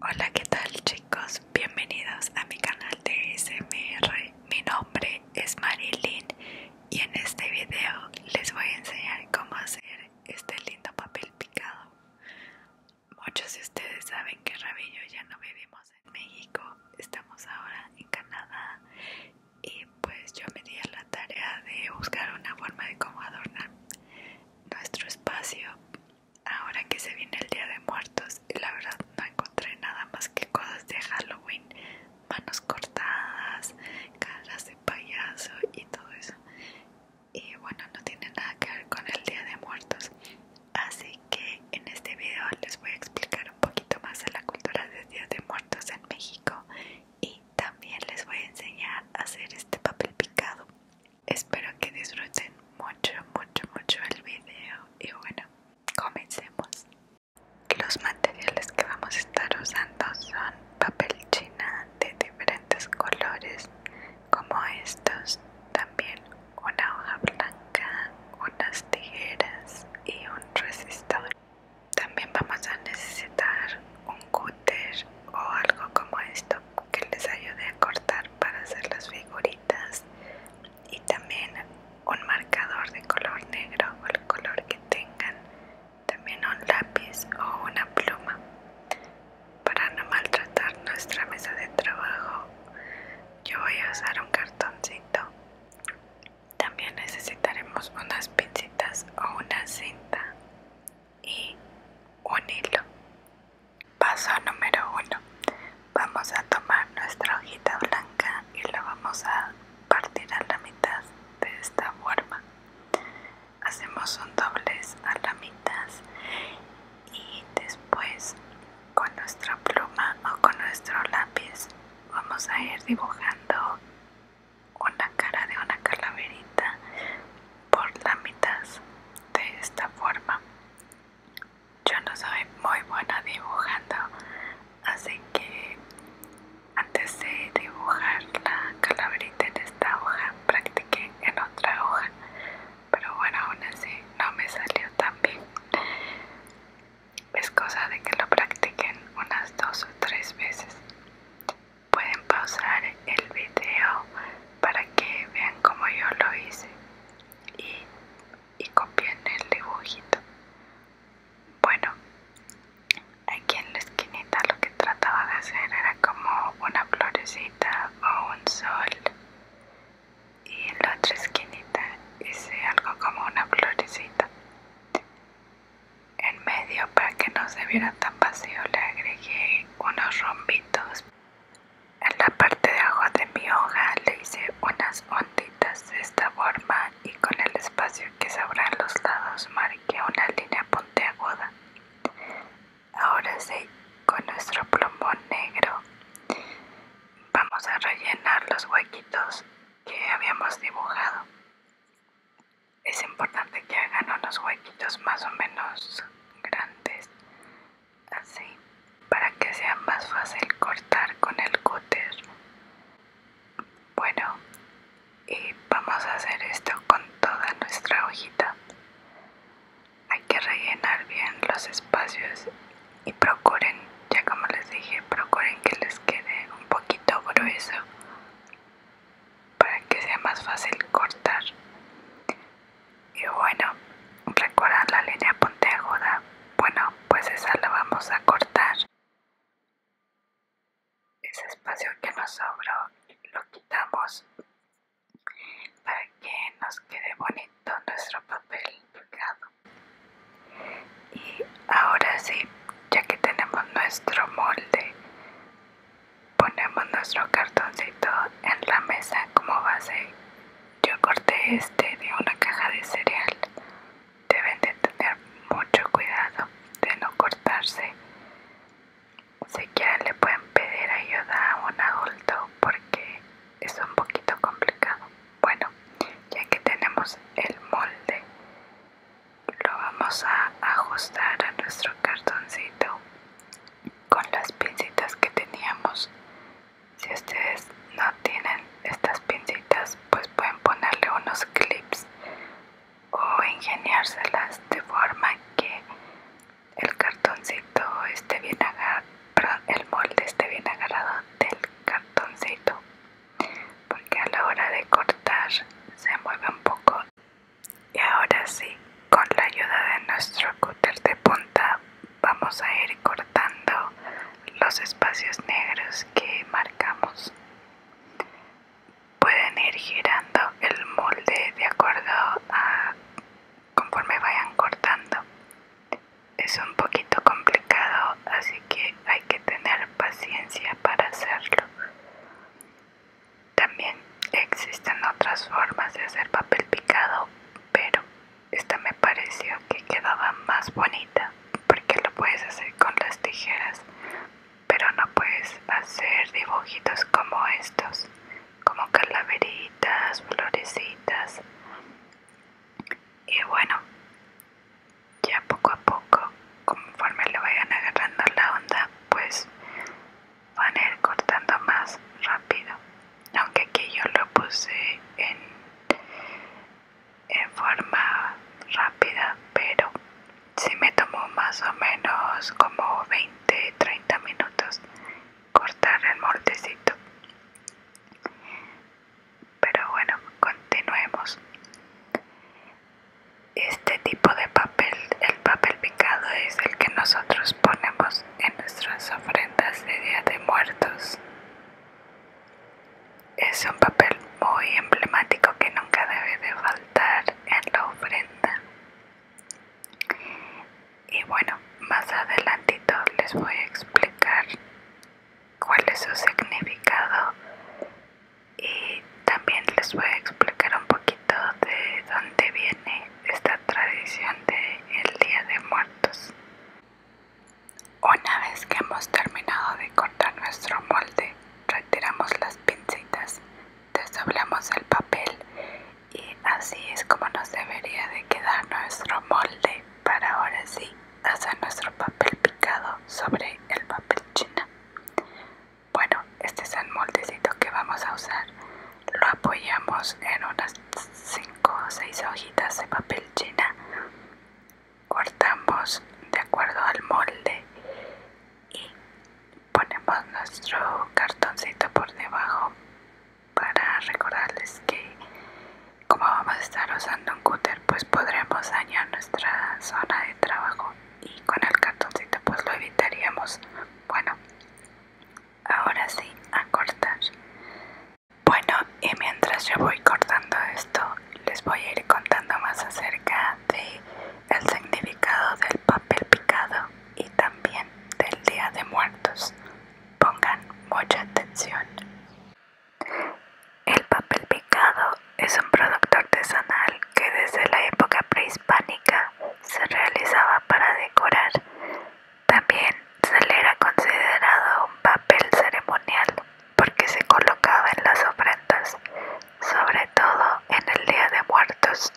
Hola, ¿qué tal chicos? Bienvenidos a mi canal de SMR. Mi nombre es Marilyn y en este video les voy a enseñar cómo hacer este lindo papel picado. Muchos de ustedes saben que Rabillo ya no vivimos en México, estamos ahora en Canadá y pues yo me di a la tarea de buscar una forma de cómo adornar nuestro espacio ahora que se viene el Día de Muertos la verdad no encontré nada más que cosas de Halloween, manos cortadas, caras de payaso y todo eso. Y bueno, no tiene nada que ver con el Día de Muertos. Así que en este video les voy a explicar un poquito más de la cultura del Día de Muertos en México y también les voy a enseñar a hacer este papel picado espero que disfruten mucho mucho mucho el vídeo y bueno comencemos los materiales que vamos a estar usando son papel china de diferentes colores como estos también una hoja blanca unas tijeras y un resistador también vamos a necesitar un cúter o algo como esto que les ayude a cortar para hacer las figuritas y también un marcador de color negro o el color que tengan también un lápiz o una pluma para no maltratar nuestra mesa de trabajo yo voy a usar un cartoncito también necesitaremos unas pinzas o una cinta y un hilo. Paso número uno. Vamos a tomar nuestra hojita blanca y la vamos a partir a la mitad de esta forma. Hacemos un doblez a la mitad y después con nuestra pluma o con nuestro lápiz vamos a ir dibujando una cara de una calaverita por la mitad de esta forma. Yo no soy muy buena dibujando, así que antes de dibujar la calaverita en esta hoja, practiqué en otra hoja, pero bueno, aún así no me salió tan bien. Es cosa de que lo practiquen unas dos o tres veces pueden pausar el video para que vean como yo lo hice y, y copien el dibujito bueno aquí en la esquinita lo que trataba de hacer era como una florecita o un sol y en la otra esquinita hice algo como una florecita en medio para que no se viera tan vacío le agregué unos rombitos. En la parte de abajo de mi hoja le hice unas onditas de esta forma y con el espacio que sobra en los lados marqué una línea puntiaguda. Ahora sí, con nuestro plombón negro vamos a rellenar los huequitos que habíamos dibujado es importante que hagan unos huequitos más o menos grandes así para que sea más fácil cortar con el cúter bueno y vamos a hacer esto con toda nuestra hojita hay que rellenar bien los espacios y procuren ya como les dije procuren que les quede un poquito grueso para que sea más fácil cortar y bueno recuerdan la línea puntiaguda bueno pues esa la vamos a cortar ese espacio que nos sobró lo quitamos para que nos quede bonito nuestro papel pegado y ahora sí ya que tenemos nuestro molde ponemos nuestro cartoncito en la mesa como base yo corté este de una caja de cereal deben de tener mucho cuidado de no cortarse si quieren le pueden pedir ayuda a un adulto porque es un poquito complicado bueno ya que tenemos el molde lo vamos a ajustar a nuestro cartoncito con las pincitas que teníamos si ustedes no tienen estas pincitas pues pueden ponerle unos clips o ingeniárselas de forma que el cartoncito esté bien agarrado el molde esté bien agarrado del cartoncito porque a la hora de cortar se mueve un poco y ahora sí con la ayuda de nuestro cúter de punta vamos a ir cortando los espacios negros que marcamos pueden ir girando el molde de acuerdo a conforme vayan cortando es un poquito complicado, así que hay que tener paciencia para hacerlo. También existen otras formas de hacer papel picado, pero esta me pareció que quedaba más bonita porque lo puedes hacer con las tijeras, pero no puedes hacer dibujitos como estos, como calaveritas, florecitas. Y bueno, ya poco a poco, conforme le vayan agarrando la onda, pues van a ir cortando más rápido. Aunque aquí yo lo puse en, en forma rápida, pero si me tomó más o menos como 20-30 minutos cortar el moldecito pero bueno, continuemos. Este tipo de papel, el papel picado, es el que nosotros ponemos en nuestras ofrendas de Día de Muertos. Es un papel muy emblemático que nunca debe de faltar en la ofrenda. Y bueno, más adelantito les voy a explicar cuál es su significado y también les voy a explicar un poquito de dónde viene esta tradición de el Día de Muertos. Una vez que hemos terminado de cortar nuestro molde, retiramos las pinzas desdoblamos el papel y así es como nos debería de quedar nuestro molde para ahora sí hacer nuestro papel picado sobre el papel china. Bueno, este es el moldecito que vamos a usar. Lo apoyamos en unas 5 o 6 hojitas de papel china. Cortamos de acuerdo al molde y ponemos nuestro cartoncito por debajo para recordarles que como vamos a estar usando un cúter pues podremos dañar nuestra zona de trabajo y con el cartoncito pues lo evitaríamos bueno ahora sí a cortar bueno y mientras yo voy cortando esto les voy a ir contando más acerca de el significado del papel picado y también del día de muertos Pongan mucha atención. El papel picado es un producto artesanal que desde la época prehispánica se realizaba para decorar. También se le era considerado un papel ceremonial porque se colocaba en las ofrendas, sobre todo en el Día de Muertos.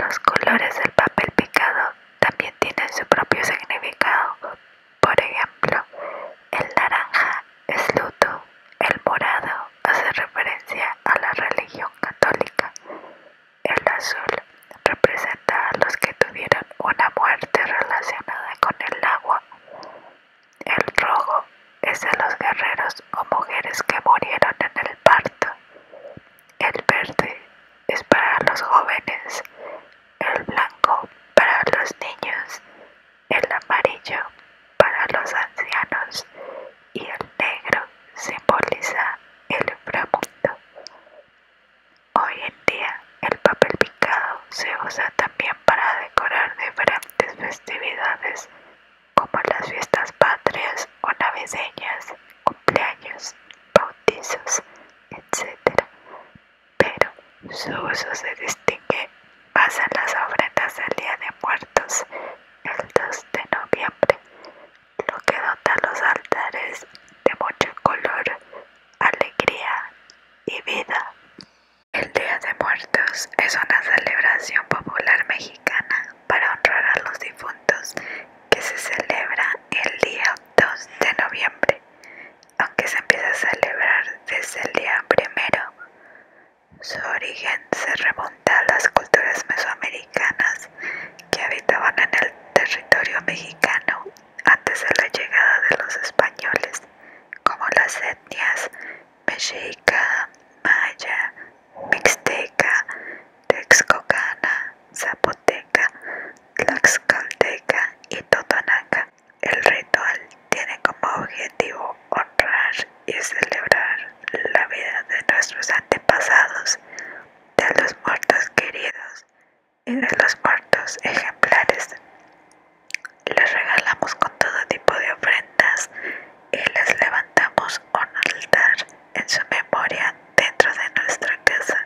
Los colores del papel picado también tienen su propio significado. Por ejemplo, el naranja es luto, el morado hace referencia a la religión católica, el azul representa a los que tuvieron una muerte relacionada con el agua, el rojo es de los guerreros o mujeres que murieron en el parto, el verde es para los jóvenes, el blanco para los niños, el amarillo para los ancianos y el negro simboliza el inframundo. Hoy en día el papel picado se usa también para decorar diferentes festividades como las fiestas patrias o navideñas, cumpleaños bautizos, etc. Pero su uso se distingue más en las ofrendas del Día de Muertos, el 2 de noviembre, lo que dota los altares de mucho color, alegría y vida. El Día de Muertos es una celebración popular mexicana para honrar a los difuntos que se celebra el día 2 de noviembre, aunque se empieza a celebrar desde el día primero. Su origen se remonta a las culturas mesoamericanas que habitaban en el territorio mexicano antes de la llegada de los españoles, como las etnias mexica, maya, mixteca, texcocana, zapoteca, tlaxcalteca y totonaca. El ritual tiene como objetivo honrar y celebrar la vida de nuestros antepasados, de los muertos queridos y de los muertos ejemplares. Les regalamos con todo tipo de ofrendas y les levantamos un altar en su memoria dentro de nuestra casa.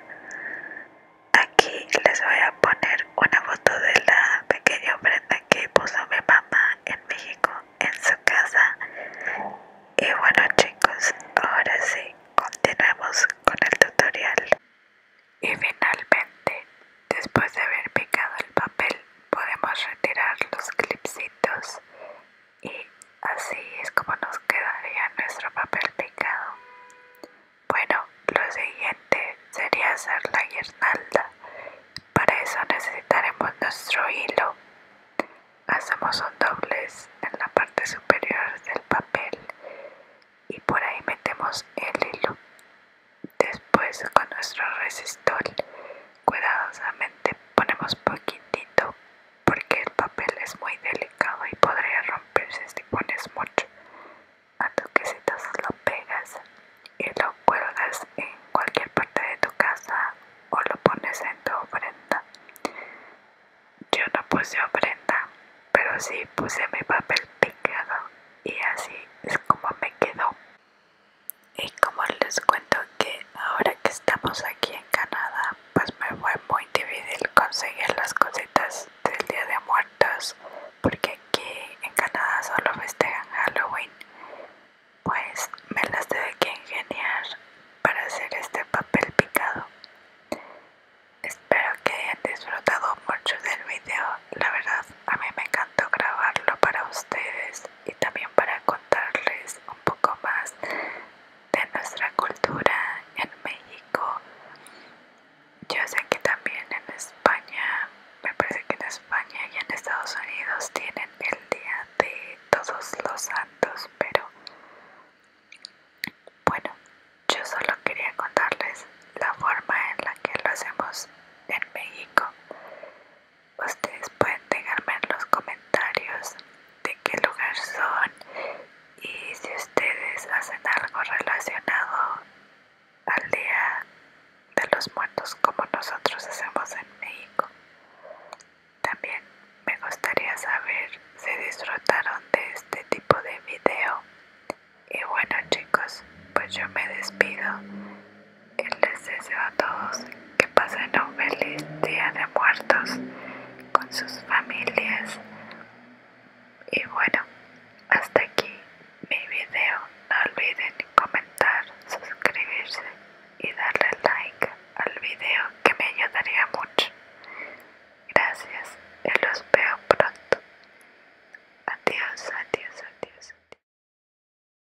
Aquí les voy a poner una foto de la pequeña ofrenda que puso mi mamá en México en su casa. Y bueno chicos, ahora sí, continuemos con el tutorial. Y finalmente, después de haber picado el papel, podemos retirar los clipsitos y así es como nos quedaría nuestro papel picado. Bueno, lo siguiente sería hacer la guirnalda. Para eso necesitaremos nuestro hilo. Hacemos un doblez en la parte superior del papel y por ahí metemos el hilo. Después con nuestro resistol cuidadosamente ponemos poquitito porque el papel es muy delicado y podría romperse si pones mucho. A tú lo pegas y lo cuelgas en cualquier parte de tu casa o lo pones en tu ofrenda. Yo no puse ofrenda, pero sí puse mi papel picado y así es como me quedó y como les cuento que ahora que estamos aquí en Canadá pues me fue muy difícil conseguir las cositas del día de muertos porque aquí en Canadá solo festejan Halloween pues me las tuve que ingeniar para hacer este papel picado espero que hayan disfrutado mucho del video la verdad a mí me encantó grabarlo para ustedes y también para contarles un poco más de nuestra cultura en México. Yo sé que también en España, me parece que en España y en Estados Unidos tienen el Día de Todos los Santos, pero bueno, yo solo quería contarles la forma en la que lo hacemos en México ustedes pueden dejarme en los comentarios de qué lugar son y si ustedes hacen algo relacionado al día de los muertos como nosotros hacemos en México. También me gustaría saber si disfrutaron de este tipo de video. Y bueno chicos, pues yo me despido y les deseo a todos que pasen un feliz día de muertos con sus familias. Y bueno, hasta aquí mi video. No olviden comentar, suscribirse y darle like al video que me ayudaría mucho. Gracias y los veo pronto. Adiós, adiós, adiós.